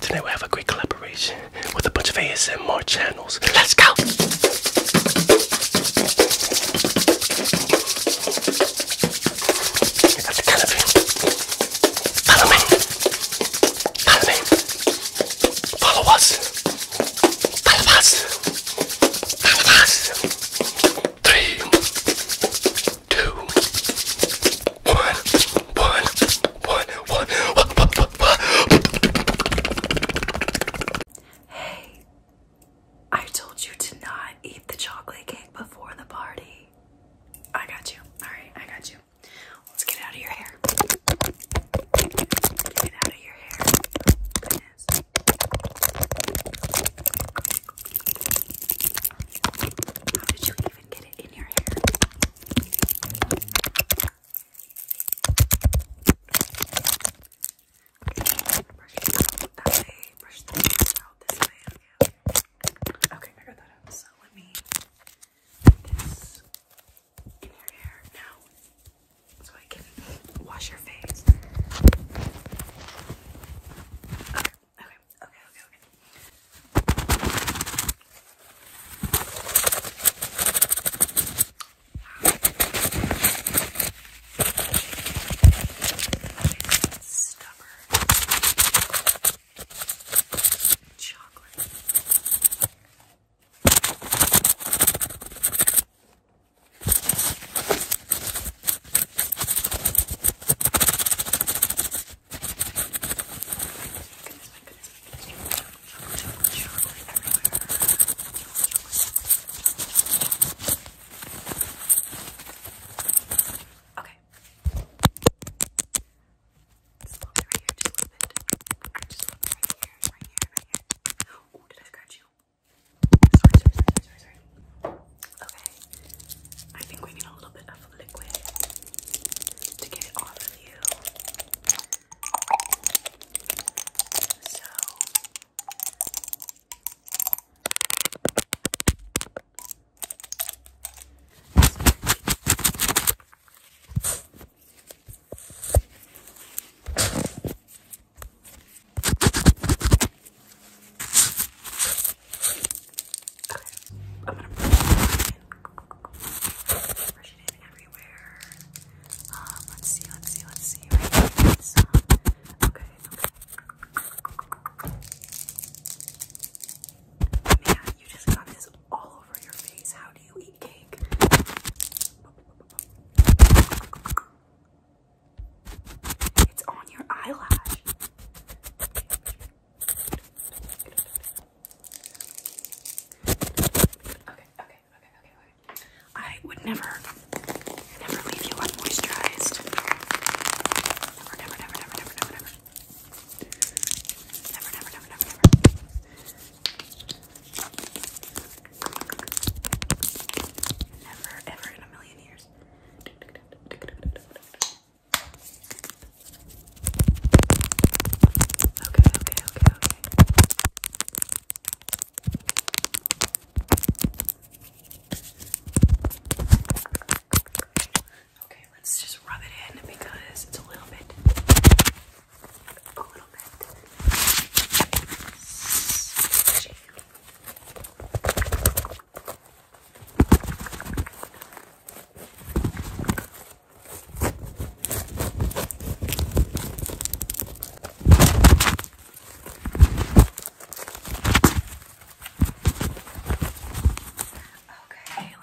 Today we have a great collaboration with a bunch of ASMR channels. Let's go! Follow me. Follow me. Follow us. Follow us. Follow us. Three, two, one, one, one, one, one. Hey, I told you to not eat the chocolate cake before the party. I got you. All right, I got you. Let's get out of your hair. Get out of your hair. Goodness. How did even get it in your hair. Okay, brush that way. Brush the hair out this way. Okay, okay. I got that So let me in your hair now, so I can wash your face. Okay, okay, okay, okay. Stubborn chocolate goodness, my goodness, my goodness. Chocolate, chocolate, chocolate everywhere. Chocolate, chocolate, chocolate. Okay. Just a little bit right here, just a little bit. Just a little bit right here, right here, right here. Oh, did I scratch you? Sorry, sorry, sorry, sorry, sorry. Okay, I think we need a little bit of liquid to get it off of you. So, I'm gonna brush it in everywhere. Um, let's see, let's see, let's see. Right so, okay, okay. Man, you just got this all over your face. How do you eat cake? It's on your eyelash. I would never, never leave you unmoisturized. Never, never, never, never, never, never, never. Never, never, never, never, never. Never, ever in a million years. Okay, okay, okay, okay. Okay, let's just rub it in because it's a little bit a little bit squishy. Okay, let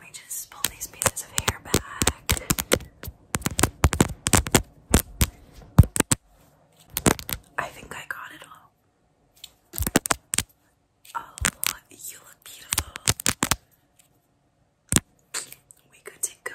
me just pull these pieces of hair back. I think I got it all. Oh, you look beautiful. We good to go,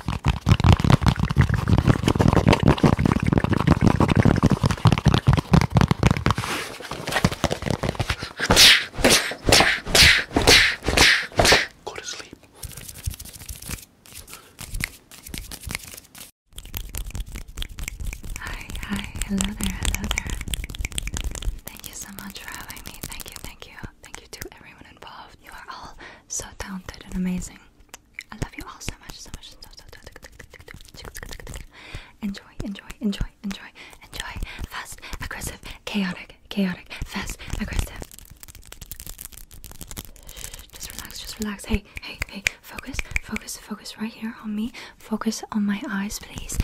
Go to sleep. Hi, hi, hello there, hello there. Thank you so much for having me. Thank you, thank you. Thank you to everyone involved. You are all so talented and amazing. I love you all so much, so much. So, so, so, so. Enjoy, enjoy, enjoy, enjoy, enjoy. Fast, aggressive, chaotic, chaotic, fast, aggressive. Just relax, just relax. Hey, hey, hey. Focus, focus, focus right here on me. Focus on my eyes, please.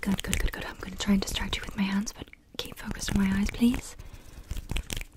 Good, good, good, good. I'm gonna try and distract you with my hands, but keep focused on my eyes, please.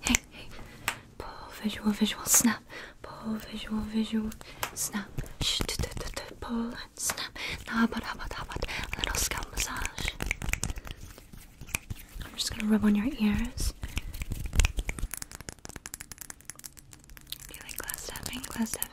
Hey, Pull visual, visual, snap. Pull visual, visual, snap. Shh, t -t -t -t snap. Now how about, how about, how little scalp massage? I'm just gonna rub on your ears. Do you like glass tapping? Glass tapping.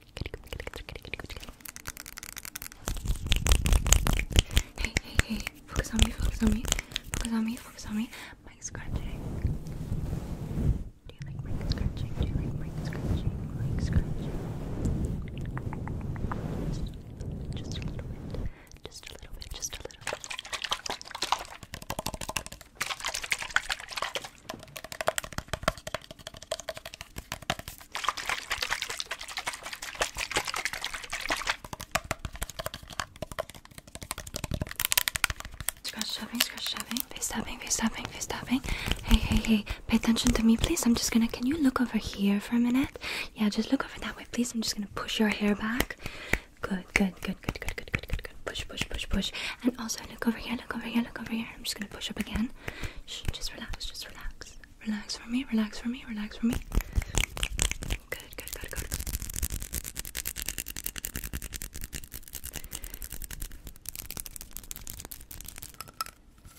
Hey, hey, hey, focus on me, focus on me, focus on me, focus on me. Mic scratching. Do you like mic scratching? Do you like mic scratching? Mic scratching. Just a little bit. Just a little bit. Just a little bit. Scratch tapping, scratch tapping, face tapping, face tapping, face tapping. Hey, hey, hey, pay attention to me, please. I'm just gonna, can you look over here for a minute? Yeah, just look over that way, please. I'm just gonna push your hair back. Good, good, good, good, good, good, good, good, good. Push, push, push, push. And also look over here, look over here, look over here. I'm just gonna push up again just relax, just relax. Relax for me, relax for me, relax for me. Good, good, good, good.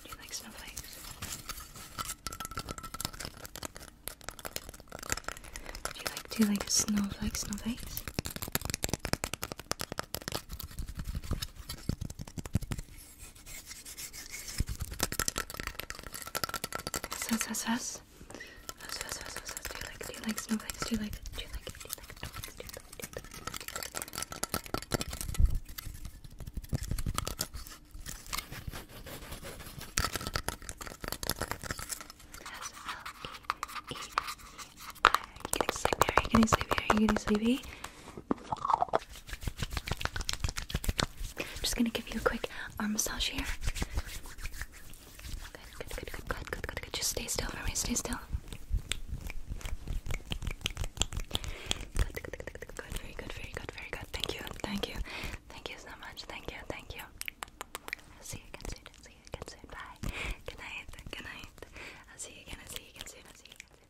Do you like snowflakes? do you like snowflakes, snowflakes? Yes, yes, yes. Yes, yes, yes, yes, yes. Do you like it? Do you like snowflakes? Do you like it? Do you like it? Do you like snowflakes? Do you like it? S L E E are sleepy? Are sleepy? Are sleepy? I'm just gonna give you a quick arm massage here. Good, good, good, good, good, good, good, Just stay still for me. Stay still. Good, good, good, Very good, very good, very good. Thank you, thank you, thank you so much. Thank you, thank you. see you again soon. see you again soon. Bye. Good night. Good night. I'll see you again. see you again soon.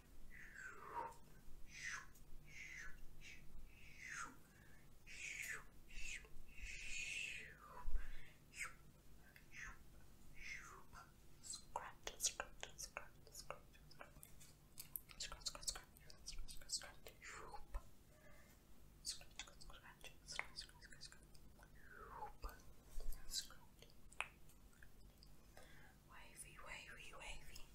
Scratch, scratch, scratch, scratch, scratch, scratch, scratch, scratch, Wavy, wavy, wavy.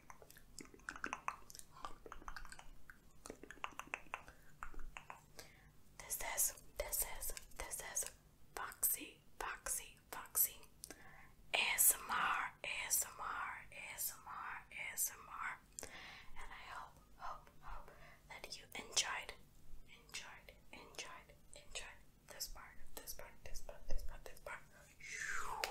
This is, this is, this is Foxy, Foxy, Foxy. ASMR, ASMR, ASMR, ASMR. And I hope, hope, hope that you enjoyed, enjoyed, enjoyed, enjoyed this part, this part, this part, this part, this part.